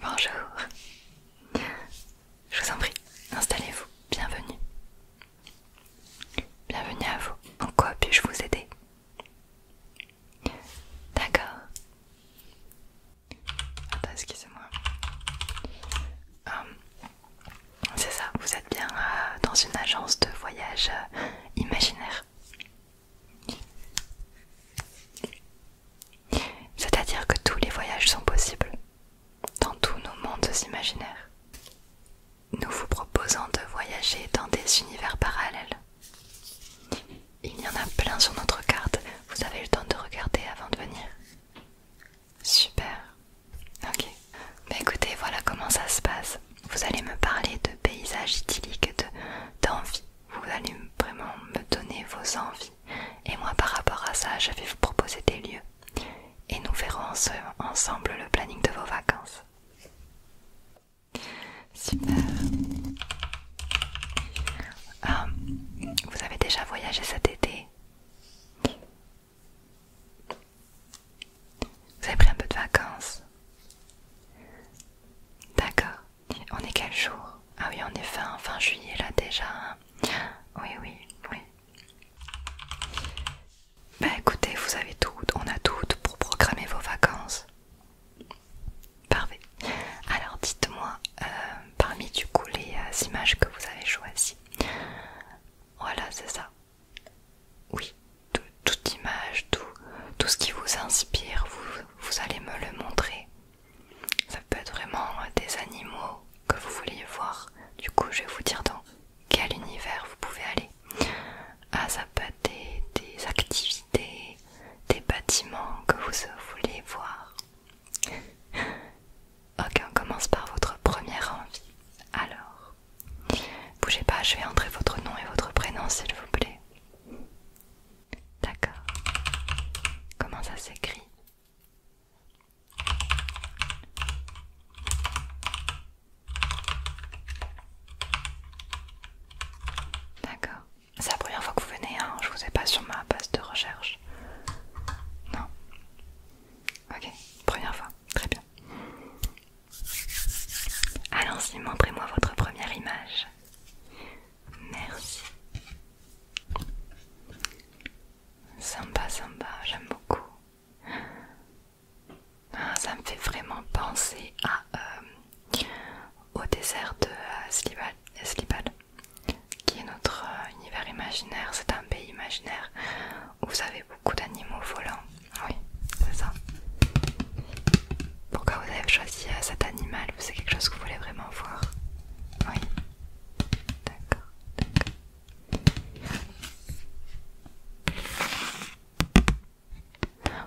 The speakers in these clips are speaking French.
Bonjour, je vous en prie, installez-vous, bienvenue. Bienvenue à vous, en quoi puis-je vous aider D'accord. Attends, excusez-moi. Hum, c'est ça, vous êtes bien euh, dans une agence de voyage euh, imaginaire. C'est-à-dire que tous les voyages sont possibles dans tous nos mondes imaginaires nous vous proposons de voyager dans des univers parallèles. Il y en a plein sur notre carte, vous avez le temps de regarder avant de venir. Super. Ok. Mais bah, écoutez, voilà comment ça se passe. Vous allez me parler de paysages idylliques, d'envie. vous allez vraiment me donner vos envies. Et moi par rapport à ça, je vais vous proposer des lieux. Et nous verrons ensemble le planning de vos vacances. Super. Euh, vous avez déjà voyagé cet été Vous avez pris un peu de vacances D'accord. On est quel jour Ah oui, on est fin, fin juillet là déjà. Hein oui, oui, oui. Bah écoutez, vous avez tout, on a tout pour programmer vos vacances. Parfait. Alors dites-moi, euh, parmi du coup les euh, images que vous avez choisies. Voilà, c'est ça. Oui, toute image, tout, ce qui vous inspire, vous, allez me le montrer. Ça peut être vraiment euh, des animaux que vous vouliez voir. Du coup, je vais vous dire dans quel univers vous pouvez aller. à ah, ça des, activités, des bâtiments que vous voulez voir. Ok, on commence par votre première envie. Alors, bougez pas, je vais entrer votre nom et votre prénom s'il vous plaît. D'accord. Comment ça s'écrit D'accord. C'est la première fois que vous venez, hein je vous ai pas sur ma base de recherche. Non. Ok, première fois, très bien. Allons-y, montrez-moi votre première image. Merci. Sympa, sympa, j'aime beaucoup. Ah, ça me fait vraiment penser euh, au désert de Esquibal euh, qui est notre euh, univers imaginaire. C'est un pays imaginaire où vous avez beaucoup d'animaux volants. Oui, c'est ça. Pourquoi vous avez choisi cet animal C'est quelque chose que vous voulez vraiment voir Oui. D'accord, d'accord.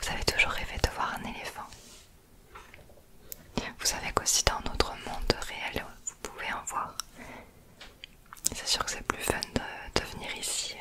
Vous avez toujours rêvé de voir un éléphant. Vous savez qu'aussi dans notre monde réel, vous pouvez en voir. C'est sûr que c'est plus fun de, venir ici.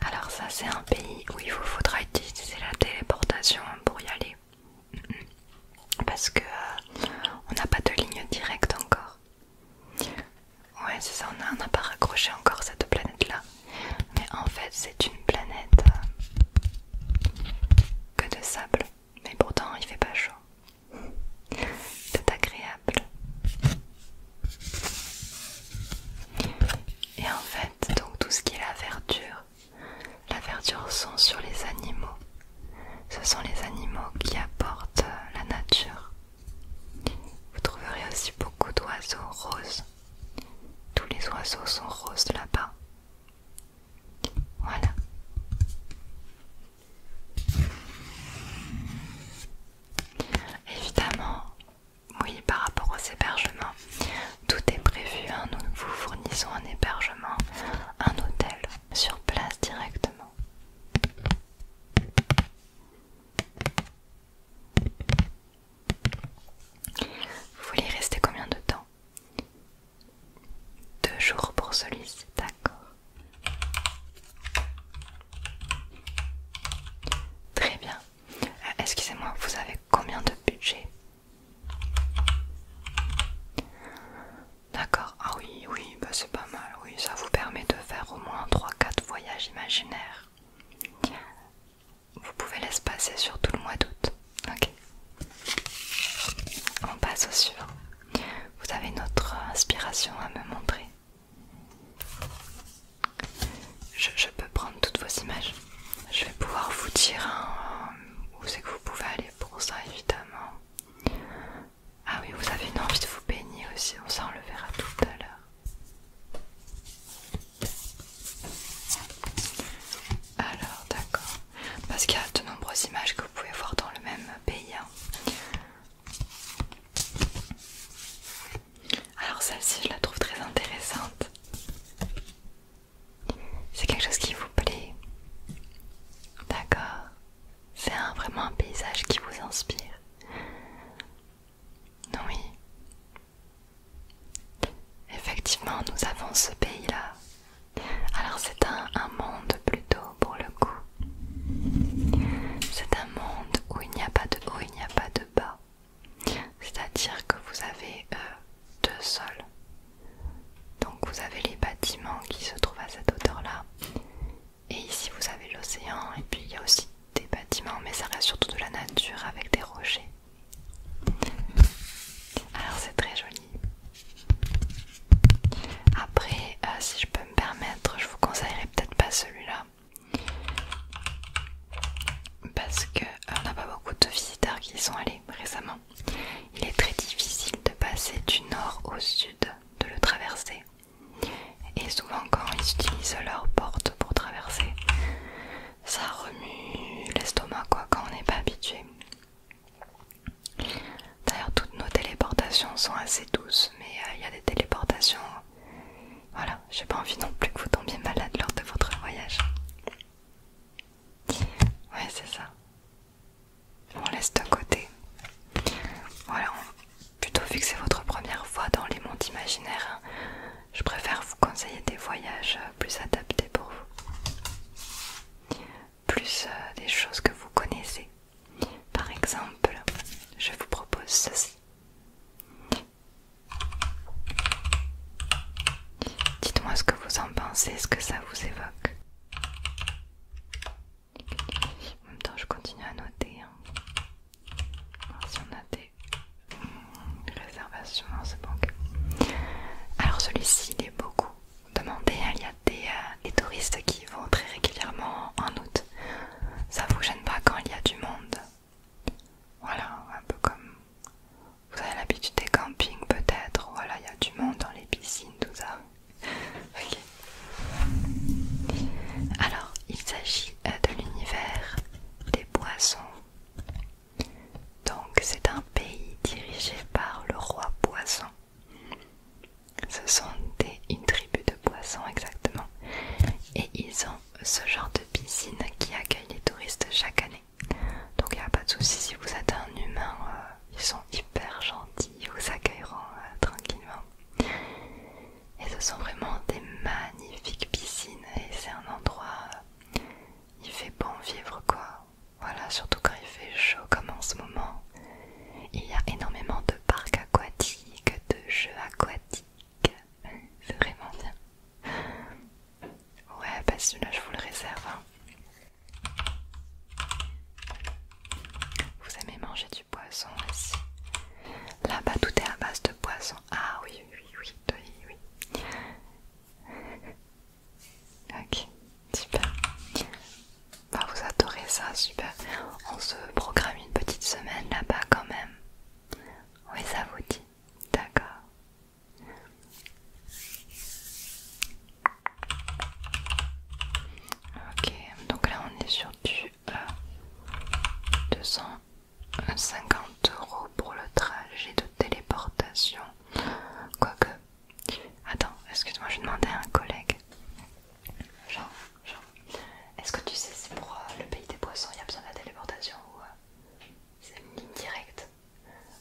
Alors ça c'est un pays où il vous faudra utiliser la téléportation pour y aller. Parce que euh, on n'a pas de ligne directe encore. Ouais, c'est ça, on n'a pas raccroché encore cette planète-là. Mais en fait, c'est une planète euh, que de sable. Mais pourtant, il fait pas chaud. C'est agréable. Et en fait, donc tout ce qui est la verdure, la verdure sont sur les animaux. Ce sont les animaux qui apportent la nature. Vous trouverez aussi beaucoup d'oiseaux roses. Tous les oiseaux sont roses là-bas. Voilà. Évidemment, oui, par rapport aux hébergements, tout est prévu. Hein. nous vous fournissons un hébergement, un hôtel sur place directement. Vous voulez rester combien de temps Deux jours pour celui-ci, d'accord. Très bien. Euh, excusez-moi, vous avez combien de budget D'accord, ah oui, oui, bah c'est pas mal, oui, ça vous permet de faire au moins 3-4 voyages imaginaires. Vous pouvez laisser passer sur tout le mois d'août. Ok. On passe au suivant. Vous avez notre inspiration à me montrer. Je, peux prendre toutes vos images. Je vais pouvoir vous dire euh, où c'est que vous pouvez aller pour ça évidemment. Ah oui, vous avez une envie de vous baigner aussi, on s'en le verra tout à l'heure. Alors, d'accord. Parce qu'il y a de nombreuses images que vous pouvez voir dans le même pays. Hein. Alors celle-ci, je la trouve très intéressante. C'est quelque chose qui vous plaît. D'accord. C'est vraiment un paysage qui vous inspire. non Oui. Effectivement, nous avons ce pays-là. Alors c'est un, monde plutôt pour le coup. C'est un monde où il n'y a pas de haut, il n'y a pas de bas. C'est-à-dire que vous avez euh, deux sols. Donc vous avez les bâtiments qui se trouvent à cette hauteur-là. Et ici vous avez l'océan et puis il y a aussi des bâtiments mais ça reste surtout de la nature avec des rochers. Alors c'est très joli. Après euh, si je peux me permettre je vous conseillerais peut-être pas celui-là. Parce qu'on euh, n'a pas beaucoup de visiteurs qui y sont allés récemment. Il est très difficile de passer du nord au sud, de le traverser. Et souvent quand ils utilisent leurs porte pour traverser, ça remue l'estomac quoi quand on n'est pas habitué. D'ailleurs toutes nos téléportations sont assez douces, mais euh, il y a des téléportations... Voilà, j'ai pas envie non plus que vous tombiez malade lors de votre voyage. Ouais c'est ça. On laisse de côté. Voilà, plutôt vu que c'est votre première fois dans les mondes imaginaires, hein. je préfère vous conseiller des voyages euh, plus adaptés pour vous. Plus euh, des choses que vous connaissez. Par exemple, je vous propose ceci. Dites-moi ce que vous en pensez, ce que ça vous évoque. En même temps, je continue à noter. Hein. Alors, si on a des hmm, réservations ce banque. Alors celui-ci, il est beaucoup demandé. Hein. Il y a des, euh, des touristes qui vont très régulièrement en août. Ça vous gêne pas quand il y a du monde Voilà, un peu comme... Vous avez l'habitude des campings peut-être, voilà, il y a du monde dans les piscines, tout ça. Alors, il s'agit euh, de l'univers des poissons. Donc, c'est un pays dirigé par le roi poisson. Ce sont une tribu de poissons exactement. Et ils ont ce genre de piscine qui accueille les touristes chaque année. Donc il n'y a pas de souci si vous êtes un humain euh, ils sont hyper gentils, ils vous accueilleront euh, tranquillement. Et ce sont vraiment des magnifiques piscines et c'est un endroit, euh, il fait bon vivre quoi. Voilà, surtout quand il fait chaud comme en ce moment. Il y a énormément de parcs aquatiques, de jeux aquatiques. C'est vraiment bien. Ouais, bah celui-là je vous le réserve. Hein. Vous aimez manger du poisson aussi Là-bas, tout est à base de poisson. Ah oui, oui, oui, oui, oui. Ok, super. Bah, vous adorez ça, super. On se programme une petite semaine là-bas quand même. Oui, ça vous dit. D'accord. Ok, donc là on est sur du 250 euh, euros pour le trajet de téléportation. Quoique, attends, excuse-moi, je demandais à un collègue. Jean, Jean, est-ce que tu sais si pour euh, le pays des poissons, il y a besoin de la téléportation ou euh, c'est une ligne directe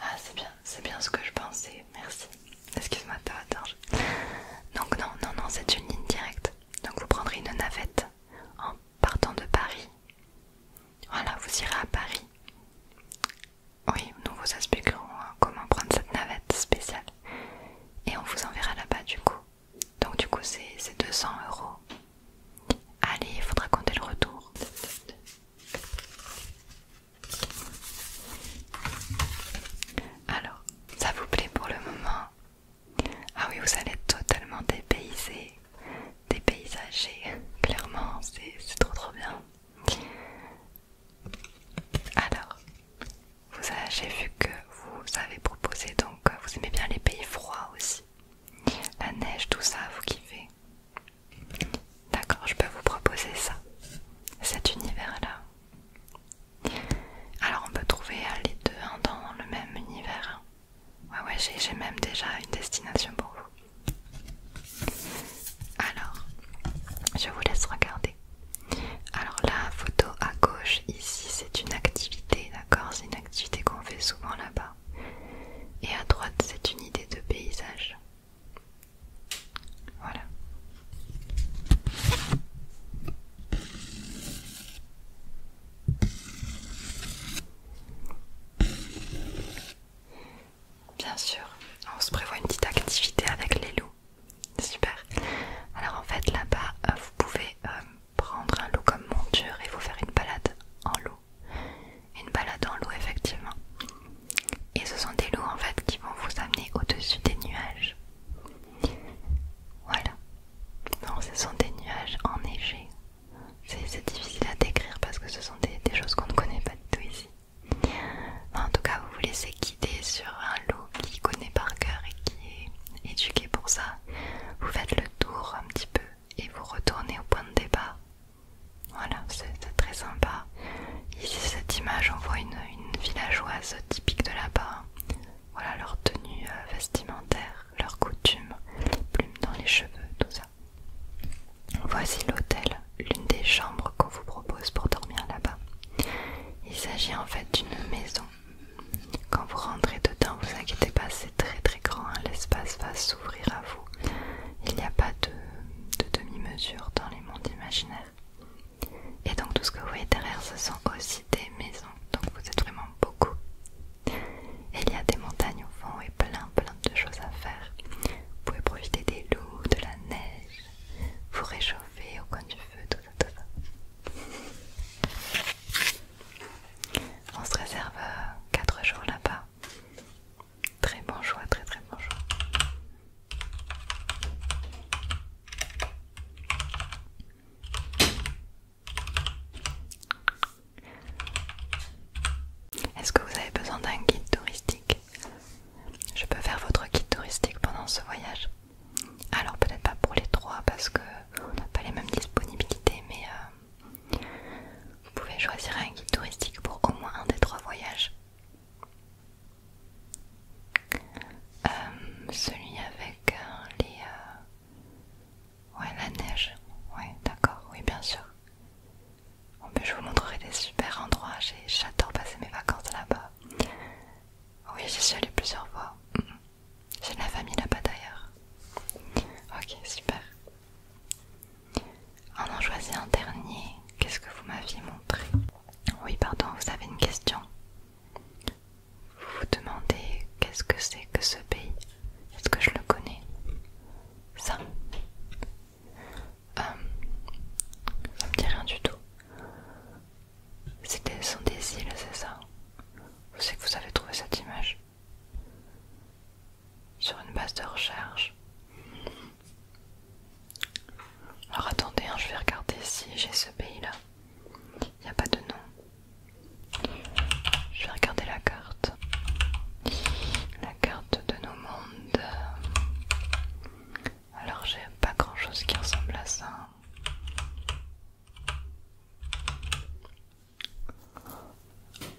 ah, c'est bien, c'est bien ce que je pensais, merci. Excuse-moi, attends. Donc, non, non, non, c'est une ligne directe. Donc, vous prendrez une navette en partant de Paris. Voilà, vous irez à Paris. Oui, nous vous expliquerons hein, comment prendre cette navette spéciale. Et on vous enverra là-bas du coup. Donc du coup c'est 200 euros. Allez, il faudra compter le retour. Alors, ça vous plaît pour le moment Ah oui, vous allez totalement dépayser, dépaysager. clairement, c'est trop trop bien. Alors, j'ai vu que vous avez proposé, donc vous aimez bien les pays froids aussi. La neige, tout ça, vous kiffez. D'accord, je peux vous proposer ça, cet univers-là. Alors on peut trouver euh, les deux temps hein, dans le même univers. Hein. Ouais, ouais, j'ai même déjà une destination pour vous. Alors, je vous laisse regarder. Alors la photo à gauche ici, c'est une activité, d'accord C'est une activité qu'on fait souvent là-bas. Et à droite, c'est une idée de paysage. Voilà. Bien sûr, on se prévoit une petite activité avec les loups. Super. Alors en fait là-bas, euh, vous pouvez euh, prendre un loup comme monture et vous faire une balade en loup une balade en l'eau effectivement. Et ce sont des loups en fait qui vont vous amener au-dessus des nuages. Voilà. Non, ce sont des nuages enneigés. C'est difficile à décrire parce que ce sont des, choses qu'on ne connaît pas du tout ici. en tout cas, vous vous laissez guider sur un loup qui connaît par cœur et qui est éduqué pour ça. Vous faites le tour un petit peu et vous retournez au point de départ. Voilà, c'est très sympa. Ici, cette image, on voit une, villageoise typique de là-bas. Voilà leur tenue euh, vestimentaire, leurs coutumes, les plumes dans les cheveux, tout ça. Voici l'hôtel, l'une des chambres qu'on vous propose pour dormir là-bas. Il s'agit en fait d'une maison. Quand vous rentrez dedans, vous inquiétez pas, c'est très très grand, hein. l'espace va s'ouvrir à vous. Il n'y a pas de, demi-mesure dans les mondes imaginaires. Et donc tout ce que vous voyez derrière, ce sont aussi des maisons. Donc vous êtes vraiment beaucoup. il y a des montagnes au fond et plein plein de choses à faire. Vous pouvez profiter des loups, de la neige, vous réchauffer au coin du feu, tout ça, tout ça. On se réserve euh, quatre jours là-bas. Très bon choix, très très bon choix. Est-ce que vous avez besoin d'un guide touristique Je peux faire votre guide touristique pendant ce voyage Alors peut-être pas pour les trois parce que on n'a pas les mêmes disponibilités, mais euh, vous pouvez choisir un guide touristique pour au moins un des trois voyages. Euh, celui avec euh, les... Euh, ouais, la neige. Ouais, d'accord, oui, bien sûr. je vous montrerai des super endroits. J'adore passer mes vacances là-bas. Oui, j'y suis allée plusieurs fois. Mm-hmm. J'ai de la famille là-bas d'ailleurs. Ok, super. En en choisissant un dernier. Qu'est-ce que vous m'aviez montré Oui, pardon, vous avez une question. Vous vous demandez qu'est-ce que c'est que ce pays Est-ce que je le connais Ça euh, Ça me dit rien du tout. C'était son des îles, c'est ça Vous savez que vous avez trouvé cette image sur une base de recherche. Alors attendez, hein, je vais regarder si j'ai ce pays-là. Il n'y a pas de nom. Je vais regarder la carte. La carte de nos mondes. Alors j'ai pas grand-chose qui ressemble à ça.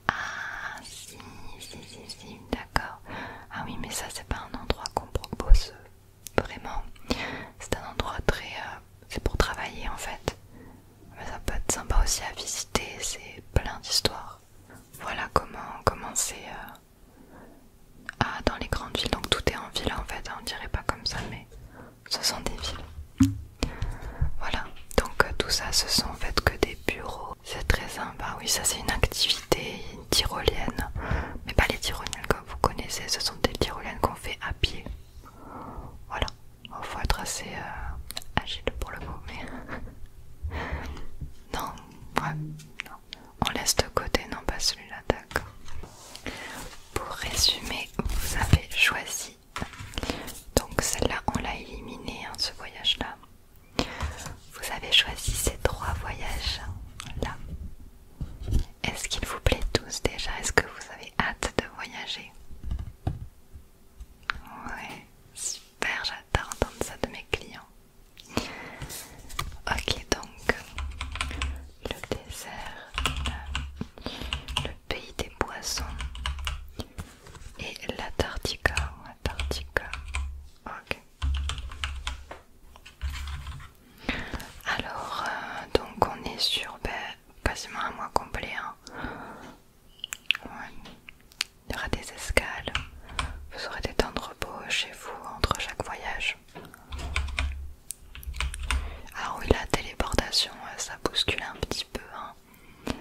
Ah si, si, si, si, d'accord. Ah oui, mais ça c'est pas un endroit qu'on propose euh, vraiment. C'est un endroit très... Euh, c'est pour travailler en fait. Mais ça peut être sympa aussi à visiter, c'est plein d'histoires. Voilà comment commencer euh, ah, dans les grandes villes. Donc tout est en ville en fait, hein, on dirait pas comme ça, mais ce sont des villes. Voilà, donc tout ça, ce sont en fait que des bureaux c'est très sympa, bah oui, ça c'est une activité tyrolienne. Mais pas les tyroliennes comme vous connaissez, ce sont des tyroliennes qu'on fait à pied. Voilà, il va faut être assez euh, agile pour le moment non, on laisse de côté, non pas celui-là, d'accord. Pour résumer, vous avez choisi. Donc celle-là, on l'a éliminée, hein, ce voyage-là. Vous avez choisi ces trois voyages là. Est-ce qu'il vous plaît tous déjà Est-ce que vous avez hâte de voyager Ouais, super, J'attends d'entendre ça de mes clients. Ok, donc le désert, euh, le pays des poissons, et la tartica, Ok. Alors, euh, donc on est sur ben, quasiment un mois complet. Hein. Il y aura des escales. Vous aurez des temps de repos chez vous entre chaque voyage. Alors ah oui, la téléportation, ça bouscule un petit peu. Hein.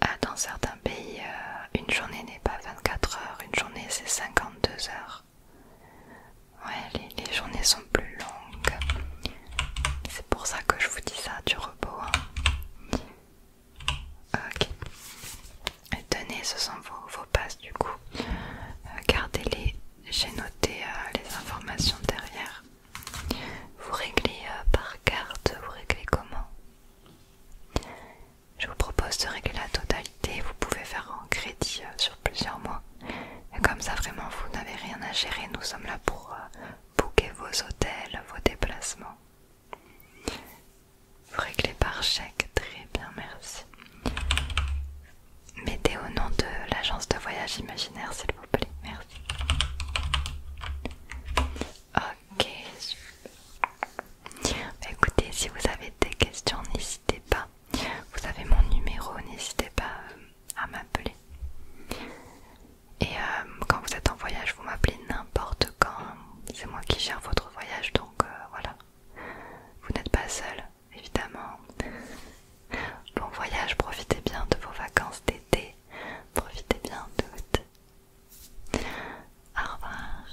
Ah, dans certains pays, euh, une journée n'est pas 24 heures, une journée c'est 52 heures. Ouais, les, journées sont plus longues. C'est pour ça que je vous dis ça, du repos. Hein. Ok. Tenez, ce sont vos, passes du coup. Euh, gardez-les. J'ai noté euh, les informations derrière. Vous réglez euh, par carte, vous réglez comment Je vous propose de régler la totalité, vous pouvez faire en crédit euh, sur plusieurs mois. comme ça vraiment vous n'avez rien à gérer, nous sommes là pour euh, booker vos hôtels, vos déplacements. Vous réglez par chèque, très bien, merci. Mettez au nom de l'agence de voyage imaginaire, s'il vous plaît, merci. Ok, bah, écoutez, si vous avez des questions, n'hésitez pas. Vous avez mon numéro, n'hésitez pas euh, à m'appeler. Et euh, quand vous êtes en voyage, vous m'appelez n'importe quand. C'est moi qui gère votre voyage, donc euh, voilà. Vous n'êtes pas seul, évidemment. Bon voyage, profitez bien de vos vacances d'été. Profitez bien toutes. Au revoir.